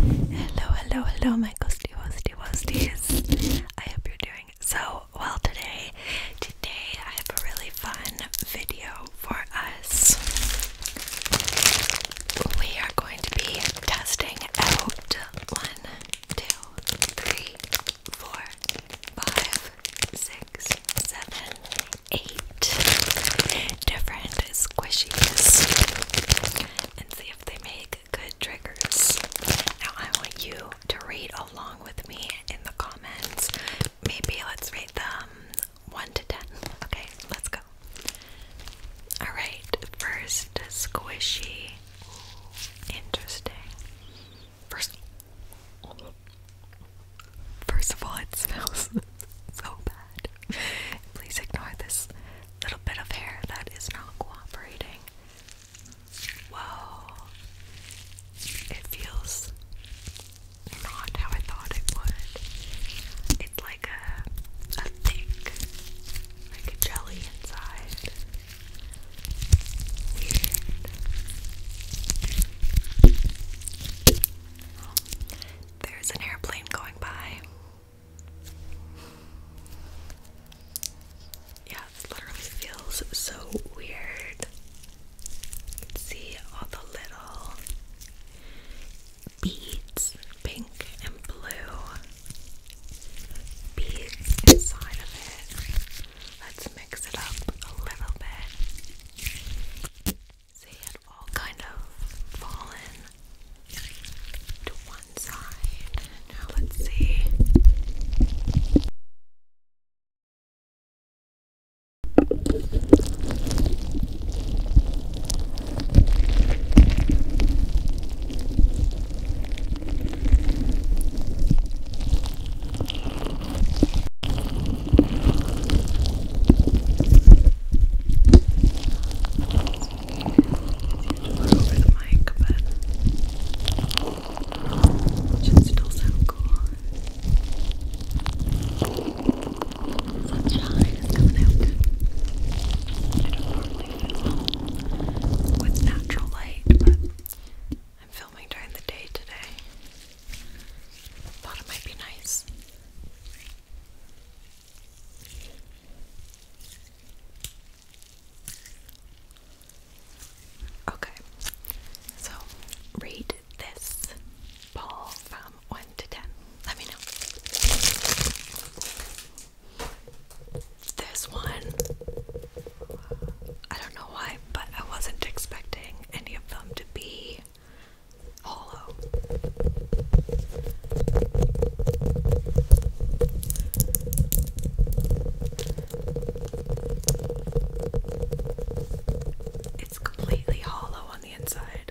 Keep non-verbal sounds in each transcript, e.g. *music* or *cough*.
Hello, hello, hello, my ghosty, hosty, hosties. I hope you're doing so well today. Today, I have a really fun video for us we are going to be testing out one, two, three, four, five, six, seven, eight different squishies and see if they make good triggers. Now, I want you to read along with me in the comments. Maybe let's rate them 1 to 10. Okay, let's go. Alright, first squishy. Interesting. First, first of all, it smells *laughs* so bad. Please ignore this little bit of hair that is not cooperating. Whoa. It feels not how I thought it would. It's like a, a thick, like a jelly inside. Weird. there's an airplane going by. Yeah, it literally feels so weird. see all the little beads, pink and blue beads inside of it. Let's mix it up a little bit. See, it all kind of fallen to one side. Now let's see over the mic, but it still sound cool. Sunshine is coming out. I don't normally film with natural light, but I'm filming during the day today. Thought it might be nice. Okay, so read this ball from 1 to 10? Let me know. This one, I don't know why, but I wasn't expecting any of them to be hollow. It's completely hollow on the inside.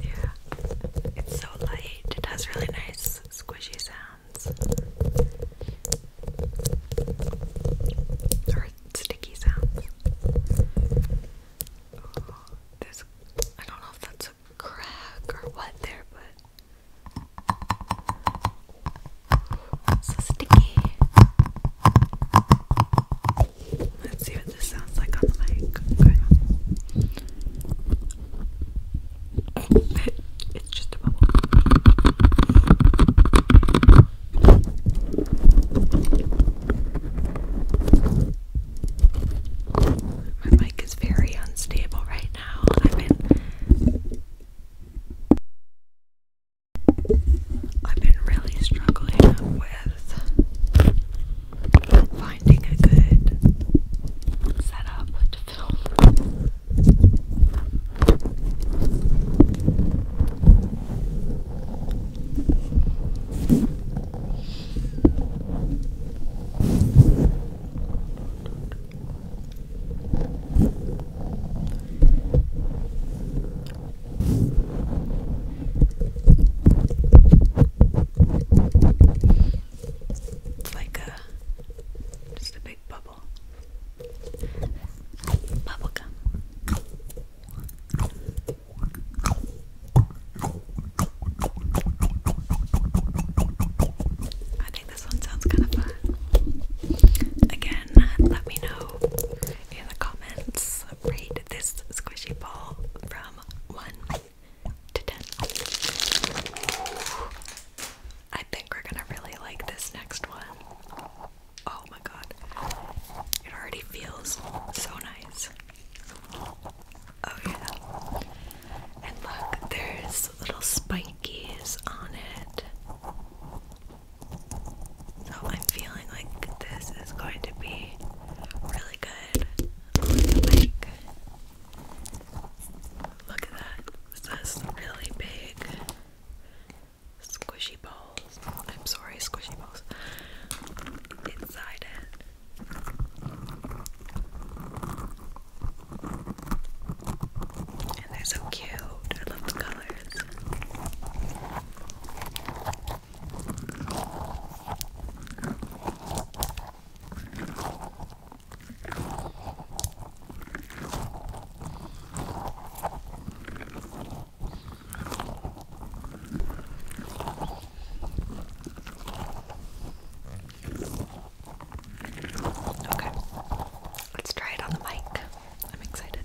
Yeah, it's so light. It has really nice squishy sound. Or sticky sounds. Oh, there's, I don't know if that's a crack or what there, but so sticky. Let's see what this sounds like on the mic. Okay it's just a bubble. My mic is very unstable right now. I've been I've been really struggling with finding a good setup film. It's like a a just a big bubble. Bubble gum. I think this one sounds kind of fun. Again, let me know in the comments. Rate this squishy ball from one I think we're gonna really like this next one. Oh my god. It already feels so nice. Oh yeah. And look, there's little spikies on it. So I'm feeling like this is going to be really good Look at that. This really big squishy balls. I'm sorry, squishy balls. Inside it. And they're so cute. I love the colors. Okay, let's try it on the mic. I'm excited.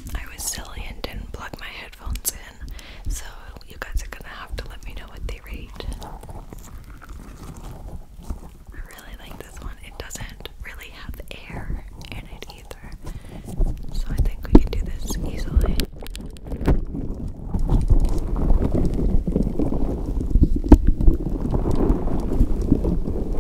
I was silly and didn't plug my headphones in, so you guys are gonna have to let me know what they rate. I really like this one. It doesn't really have air in it either, so I think we can do this easily.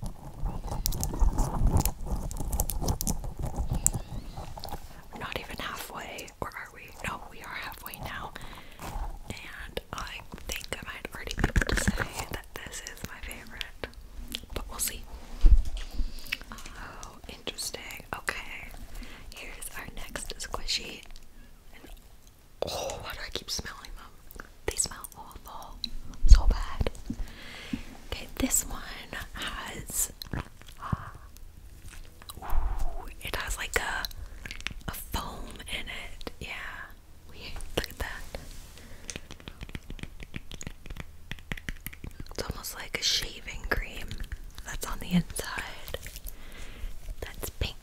We're not even halfway, or are we? No, we are halfway now. And I think I might already be able to say that this is my favorite. But we'll see. Oh, interesting. Okay. Here's our next squishy. And oh, do I keep smelling they smell awful. So bad. Okay, this one has uh, it has like a a foam in it. Yeah. Weird. Look at that. It's almost like a shaving cream that's on the inside. That's pink.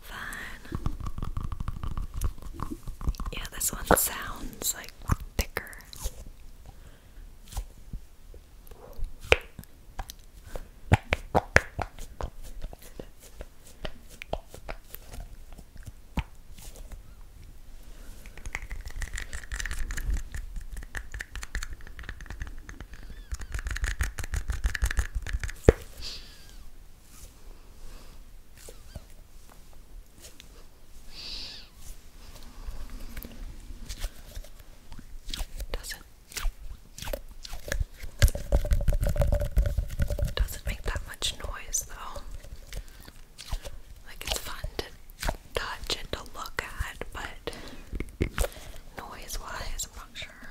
Fun. Yeah, this one sounds like thicker. Doesn't doesn't make that much noise though. Like it's fun to touch and to look at, but Noise wise, I'm not sure.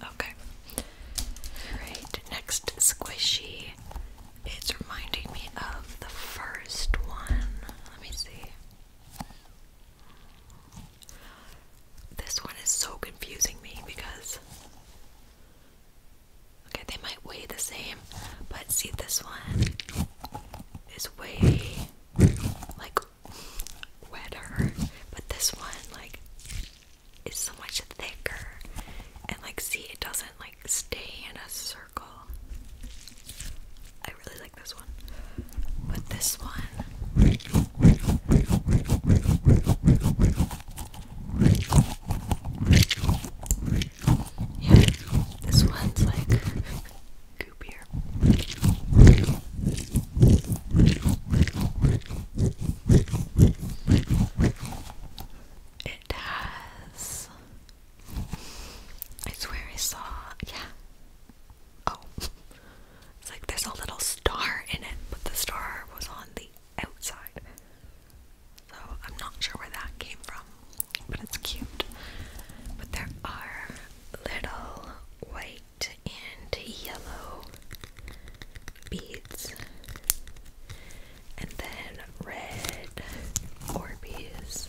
Okay. Alright, next squishy. It's reminding me of the first one. Let me see. This one is so confusing me because okay, they might weigh the same, but see this one is way like wetter, but this one like is so much thicker and like see it doesn't like stay in a circle. I really like this one. But this one. this one's like goopier. It has. I swear I saw. Yeah, Oh. It's like there's a little star in it, but the star was on the outside. So I'm not sure where that came from, but it's cute. But there are little white and yellow beads, and then red Orbeez.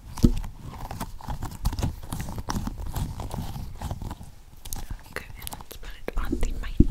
Okay, let's put it on the mic.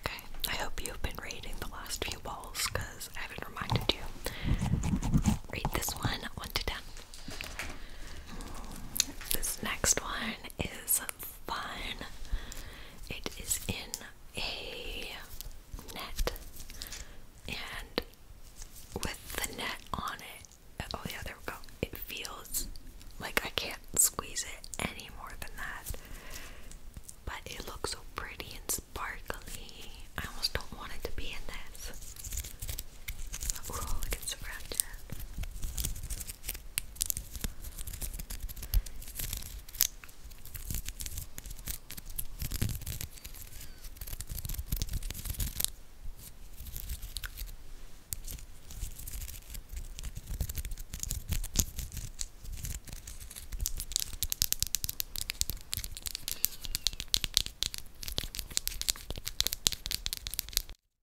Okay, I hope you've been reading the last few balls because I haven't reminded you. Read this one, 1 to 10. This next one is fun. It is in a net, and with the net on it, oh yeah, there we go. It feels like, I can't squeeze it any more than that. But it looks so pretty and sparkly. I almost don't want it to be in this. Ooh, look, it's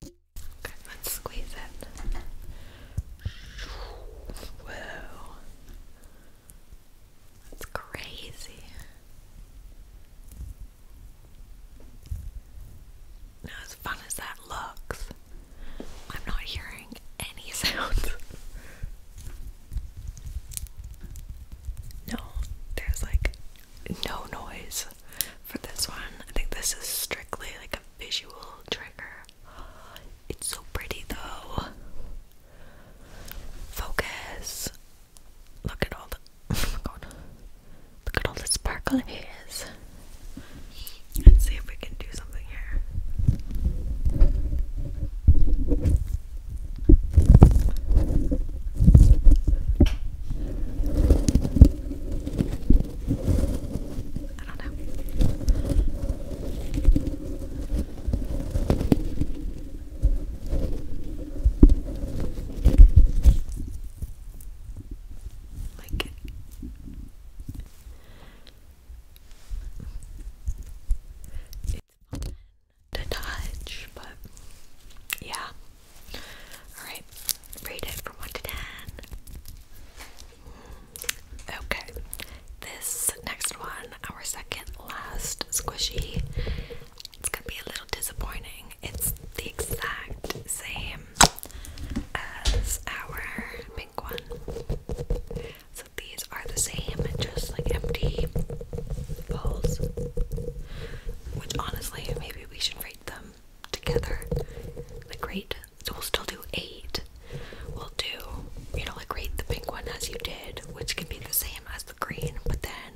Okay, let's squeeze it. Whoa. That's crazy. Now, as fun as that looks, I'm not hearing any *laughs* sounds. no, there's like no noise for this one. I think this is strictly like a visual trigger. It's so pretty though. Focus. Look at all the *laughs* oh my God. look at all the sparkle it is. Let's see if we can do something here. I don't know. Like it's fun to touch, but yeah. Alright, rate it from 1 to 10. Okay, this next one, our second last squishy, it's gonna be a little disappointing. It's the exact same as our pink one. So these are the same, just like empty bowls. Which honestly, maybe we should rate them together. Like rate, so we'll still do eight. We'll do, you know, like rate the pink one as you did, which can be the same as the green, but then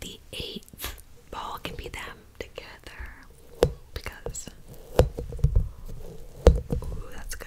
the eighth ball can be them, together because ooh, that's good.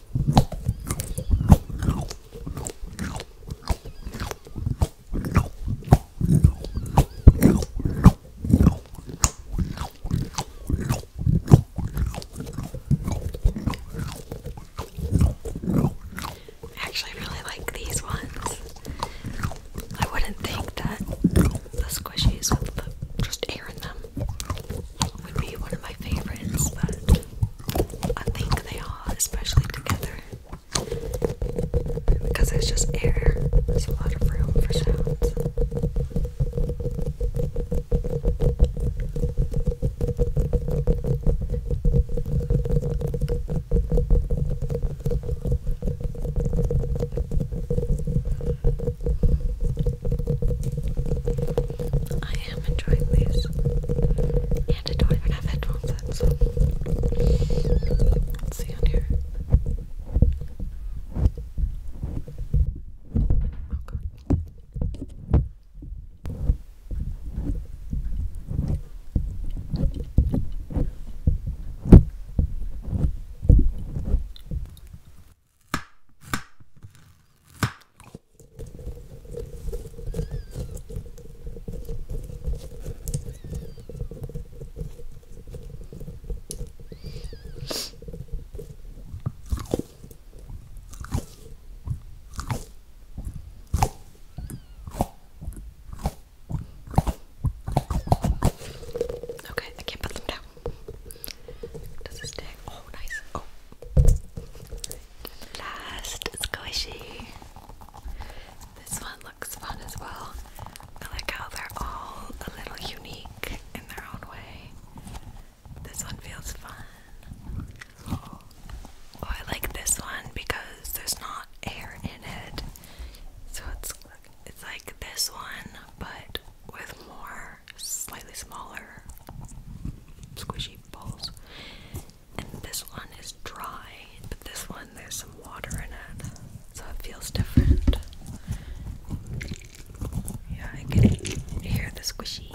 Actually, really like these ones. I wouldn't think that the squishies with just air in them would be one of my favorites, but I think they are, especially together. Because there's just air, there's a lot of room for sounds. I am enjoying these. And I don't even have headphones let's see on here. Oh god. Okay, I can't put them down. Does it stick? Oh, nice. Oh. Last squishy. This one looks fun as well. I like how they're all a little unique in their own way. This one feels fun. Oh, I like this one because there's not air in it. So it's like this one, but with more slightly smaller squishy balls. And this one is dry, but this one there's some water in it, so it feels different. Yeah, I can hear the squishy.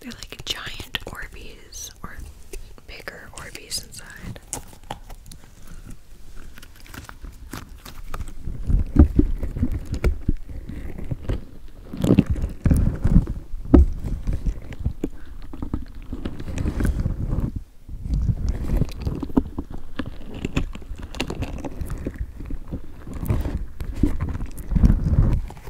They're like giant Orbeez or bigger Orbeez inside.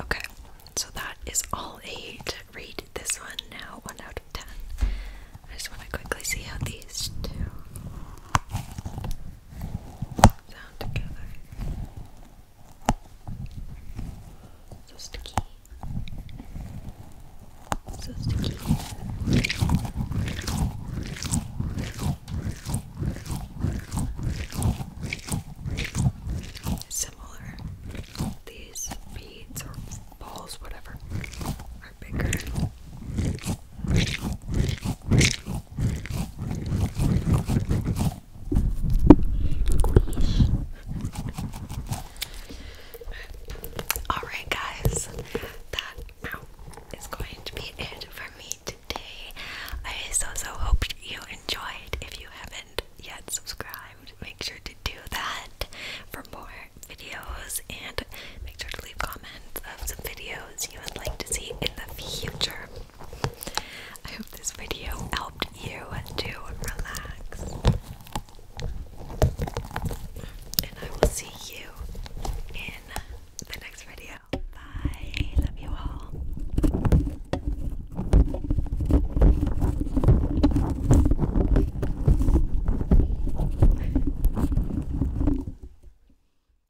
Okay, so that is all eight. Read this one now, one out of ten. I just want to quickly see how these two sound together. So sticky. So sticky. Similar. These beads or balls, whatever, are bigger. Alright, guys, that going to be it for me today. I so so hope you enjoyed. If you haven't yet subscribed, make sure to do that for more videos and make sure to leave comments of some videos you would like to see in the future. I hope this video helped you to relax. And I will see you in the next video. Bye. Love you all.